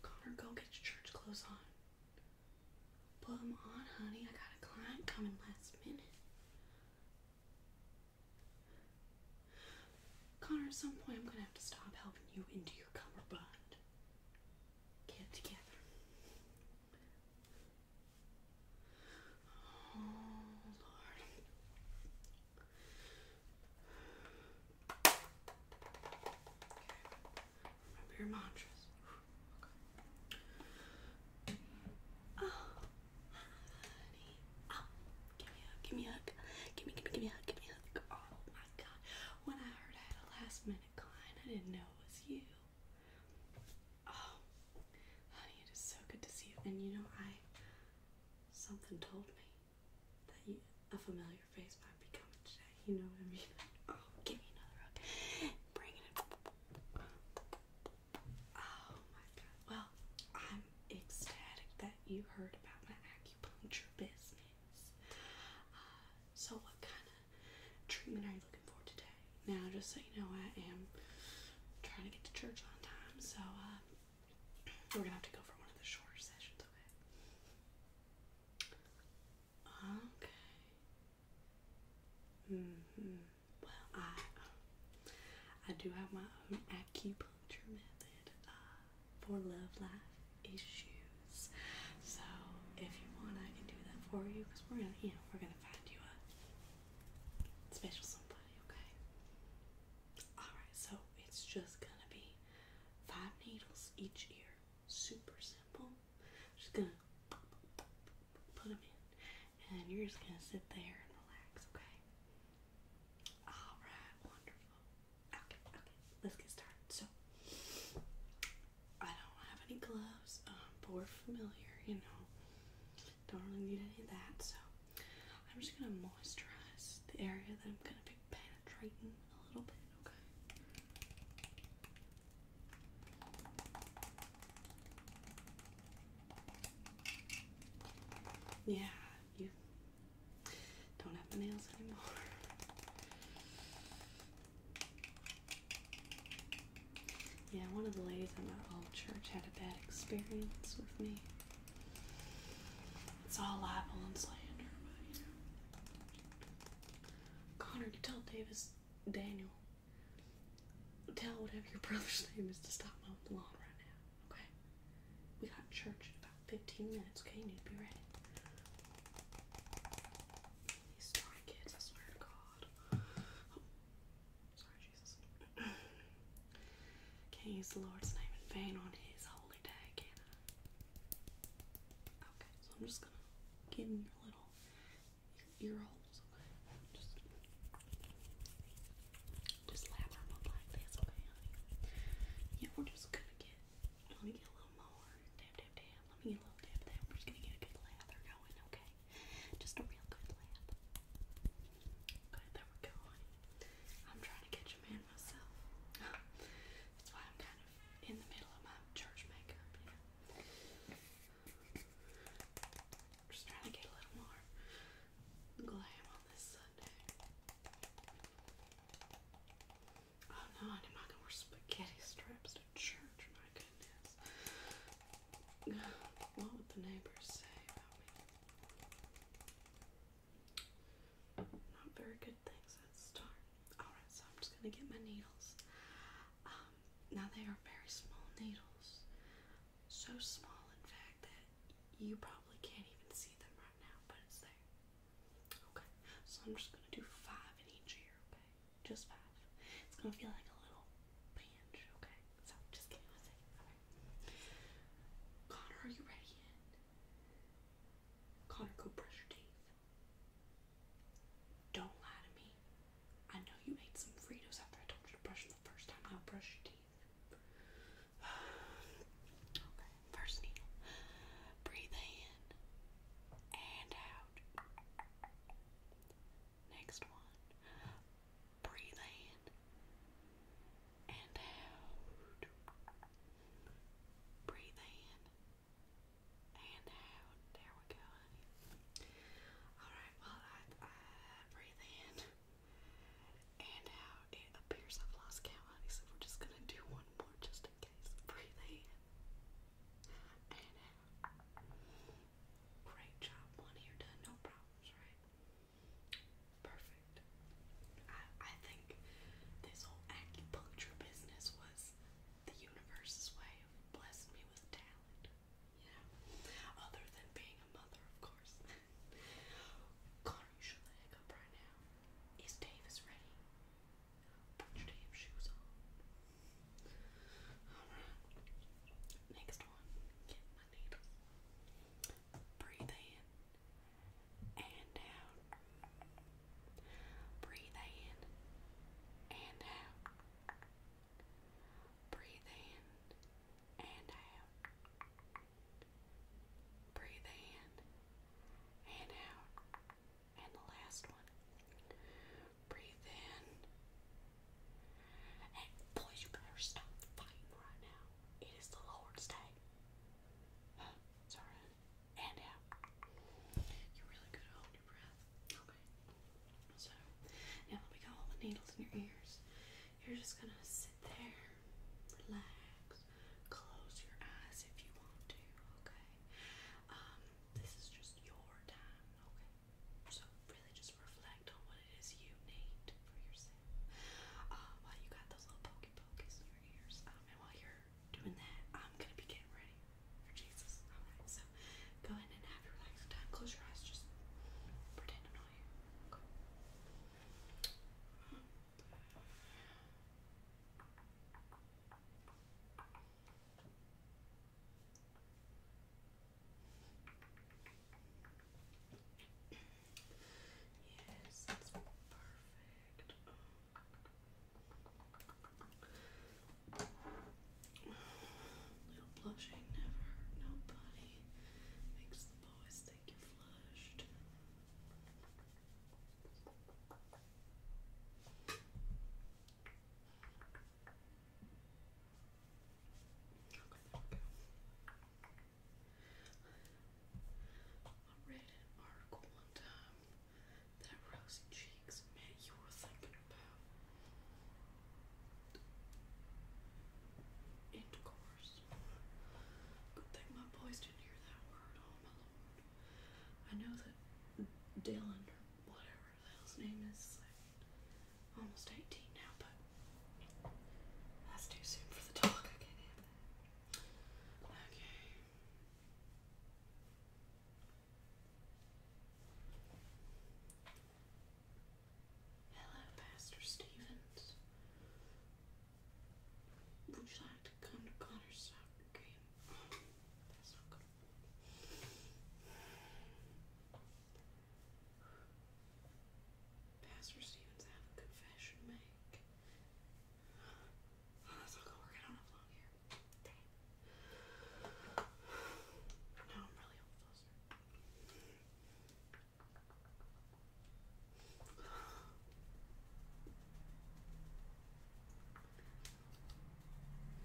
Connor, go get your church clothes on. Put them on, honey. I got a client coming last minute. Connor, at some point, I'm gonna have to stop helping you into your cummerbund. Get together. Oh, Remember mantras. Oh, honey. Oh, give me a hug, give me a hug. Give me, give me, give me a hug, give me a hug. Oh, my God. When I heard I had a last minute client, I didn't know it was you. Oh, honey, it is so good to see you. And you know, I something told me that you, a familiar face might be coming today. You know what I mean? Oh, give me another hug. Bring it Oh my god. Well, I'm ecstatic that you heard about my acupuncture business. Uh, so, what kind of treatment are you looking for today? Now, just so you know, I am trying to get to church on time, so uh, we're gonna have to go for one of the shorter sessions, okay? Okay. Mm-hmm. Well, I uh, I do have my own acupuncture method uh, for love life issues, so if you want, I can do that for you because we're gonna, you know, we're gonna find you a special somebody, okay? Alright, so it's just gonna be five needles each ear. Super simple. Just gonna put them in, and you're just gonna sit there and relax, okay? Alright, wonderful. Okay, okay, let's get started. So, I don't have any gloves, um, but we're familiar, you know don't really need any of that. So I'm just gonna moisturize the area that I'm gonna be penetrating a little bit. Okay. Yeah, you don't have the nails anymore. Yeah, one of the ladies in our old church had a bad experience with me. It's all libel and slander, but you know. Connor, tell Davis, Daniel, tell whatever your brother's name is to stop mowing the lawn right now, okay? We got church in about 15 minutes, okay? You need to be ready. These darn kids, I swear to God. Sorry, Jesus. Can't use the Lord's name in vain on His holy day, can I? Okay, so I'm just gonna give him your little ear holes, okay? Just, lather up like this, okay, honey? Yeah, we're just gonna get, let me get a little more. Dab, dab, dab. Let me get a little dab, dab. We're just gonna get a good lather going, okay? Just a real good lab. Okay, there we go, I'm trying to catch a man myself. That's why I'm kind of in the middle of my church makeup, Just trying to get a little more glam on this Sunday. Oh no, I'm not gonna wear spaghetti straps to church, my goodness what would the neighbors say about me? Not very good things at start. Alright, so I'm just gonna get my needles. Um, now they are very small needles. So small, in fact, that you probably can't even see them right now, but it's there. Okay, so I'm just gonna do five in each ear, okay? Just five. It's gonna feel like a little pinch, okay? So just give me one second. Okay. Connor, are you ready Connor, go brush your teeth. Don't lie to me. I know you ate some Fritos after I told you to brush them the first time. Now brush your teeth. Okay, first needle. Breathe in and out. Next one. Breathe in and out. Breathe in and out. There we go, honey. Alright, well, I, breathe in and out. It appears I've lost count, honey, so we're just gonna do one more just in case. Breathe in and out. Great job. One here done, no problems, right? Perfect. I I think this whole acupuncture business was the universe's way of blessing me with talent. You Other than being a mother, of course. Connor, you should let it up right now. Is Davis ready? Put your damn shoes on. Alright. Next one. Get my needle. Breathe in and out. Breathe in and out. Breathe in and out. Breathe in and out. And the last one. Breathe in. And boys, you better stop fighting right now. It is the Lord's day. Sorry. And out. You're really good at holding your breath. Okay. So, now that we got all the needles in your ears, you're just gonna sit there, relax, close your eyes if you want to, okay? Um, this is just your time, okay? So really just reflect on what it is you need for yourself. Uh, while you got those little pokey in your ears. Um, and while you're doing that, I'm gonna be getting ready for Jesus. Alright, so go ahead and have your relaxing time. Close your eyes, just pretend I'm here. Yes, that's perfect. Little blushing never hurt nobody. Makes the boys think you're flushed. I read an article one time that rosy cheeks meant you were thinking about intercourse. Good thing my boys didn't hear that word. Oh my lord! I know that Dylan or whatever her name is almost 18 now, but that's too soon for the dog. Okay. Hello, Pastor Stevens. Would you like to come to Connor's soccer game? Pastor Stevens, I have a confession to make. Oh, that's not going work. I don't have long hair. Dang. I'm really hopeful, sir. How do I need my money?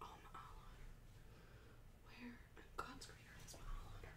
Oh, my eyeliner. Where God's creator is my eyeliner?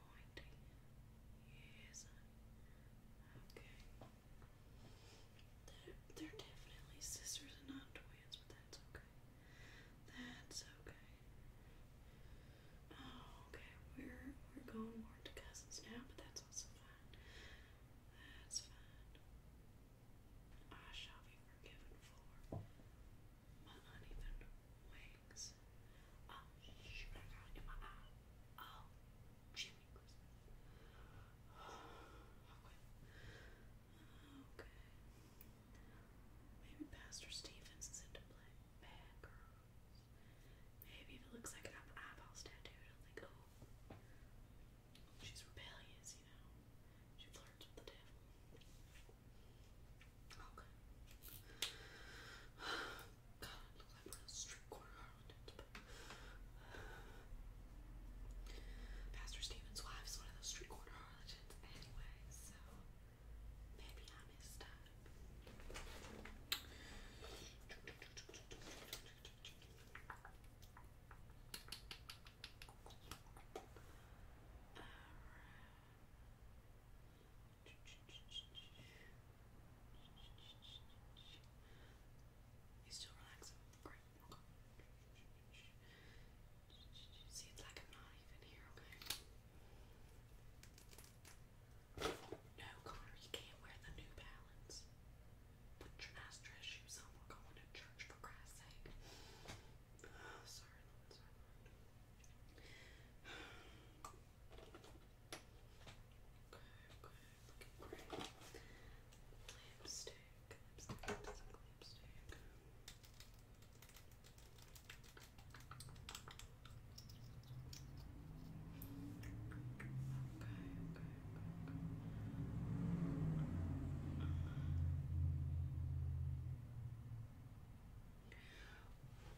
They're, definitely sisters and not twins, but that's okay. That's okay. Oh, okay. We're we're going more to cousins now, but that's also fine. That's fine. I shall be forgiven for my uneven wings. Okay. Maybe Pastor Stevens is into Bad girls. Maybe if looks like an eyeball tattoo, it'll think, oh, she's rebellious, you know. She flirts with the devil. Okay. God, look like a strip corner. Pastor Stephen's wife is one of those street corner harlotins anyway, so maybe I missed up. Alright you still relaxing. Great. See, it's like I'm not even here, okay? No, Connor, you can't wear the New Balance. Put your nice shoes on. We're going to church for Christ's sake. sorry, Lord, okay, looking lipstick. Okay, okay, okay, okay.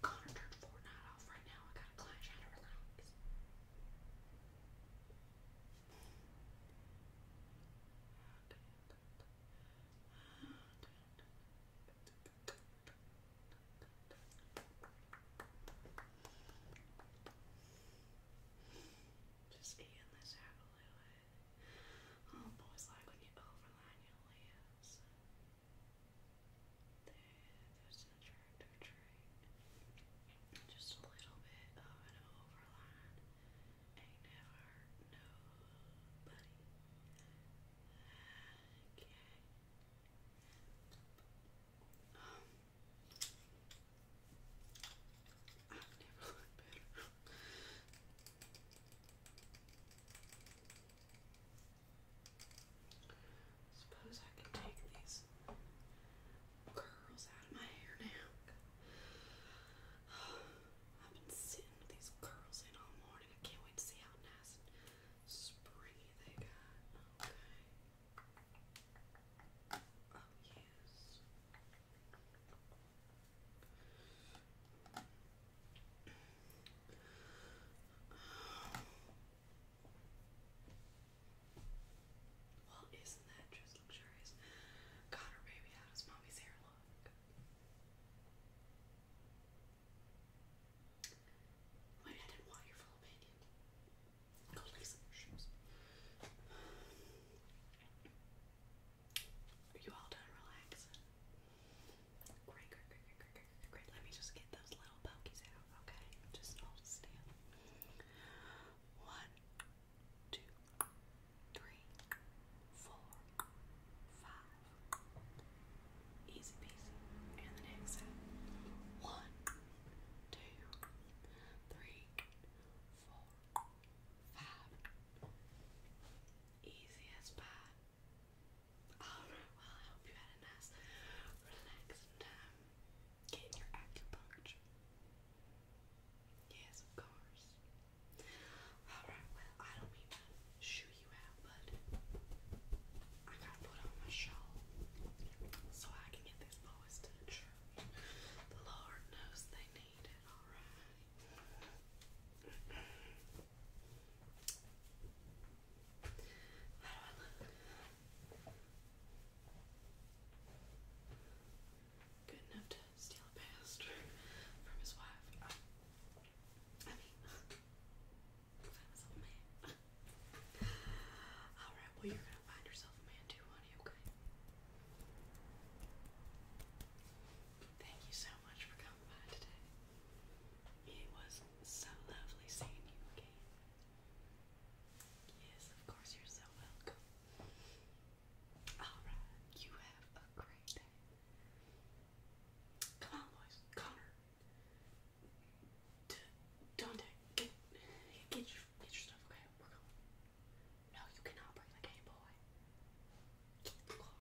Connor turned Fortnite off right now. I got a client trying to relax. Just eating this out a little bit. like when you overline your lips. There's an attractive trait. Just a little bit of an overline. Ain't never nobody. Okay. Um, I've never looked better. Suppose I can take these curls out of my hair now. I've been sitting with these curls in all morning. I can't wait to see how nice and springy they got. Okay. Oh yes. Well, not that just luxurious? Connor, baby, how does mommy's hair look? Maybe I didn't want your full opinion. Go lay some more you all done relaxing? Great, great, great, great, great, Great, let me just get those little pokies out, okay? Just hold still. One, two, three, four, five. Easy peasy. And the next side. One, two, three, four, five. Easy as Alright, well, I hope you had a nice, relaxing time getting your acupuncture. Yes, of course. Alright, well, I don't mean to shoo you out, but I gotta put on my shawl so I can get these boys to the church. The Lord knows they need it, alright? Good enough to steal a past from his wife. I mean, find myself a man. Alright, well, you're gonna find yourself a man too, honey, okay? Thank you so much for coming by today. It was so lovely seeing you again. Yes, of course, you're so welcome. Alright, you have a great day. Come on, boys. Connor. D get, get, your, get your stuff, okay? We're going. No, you cannot bring the Game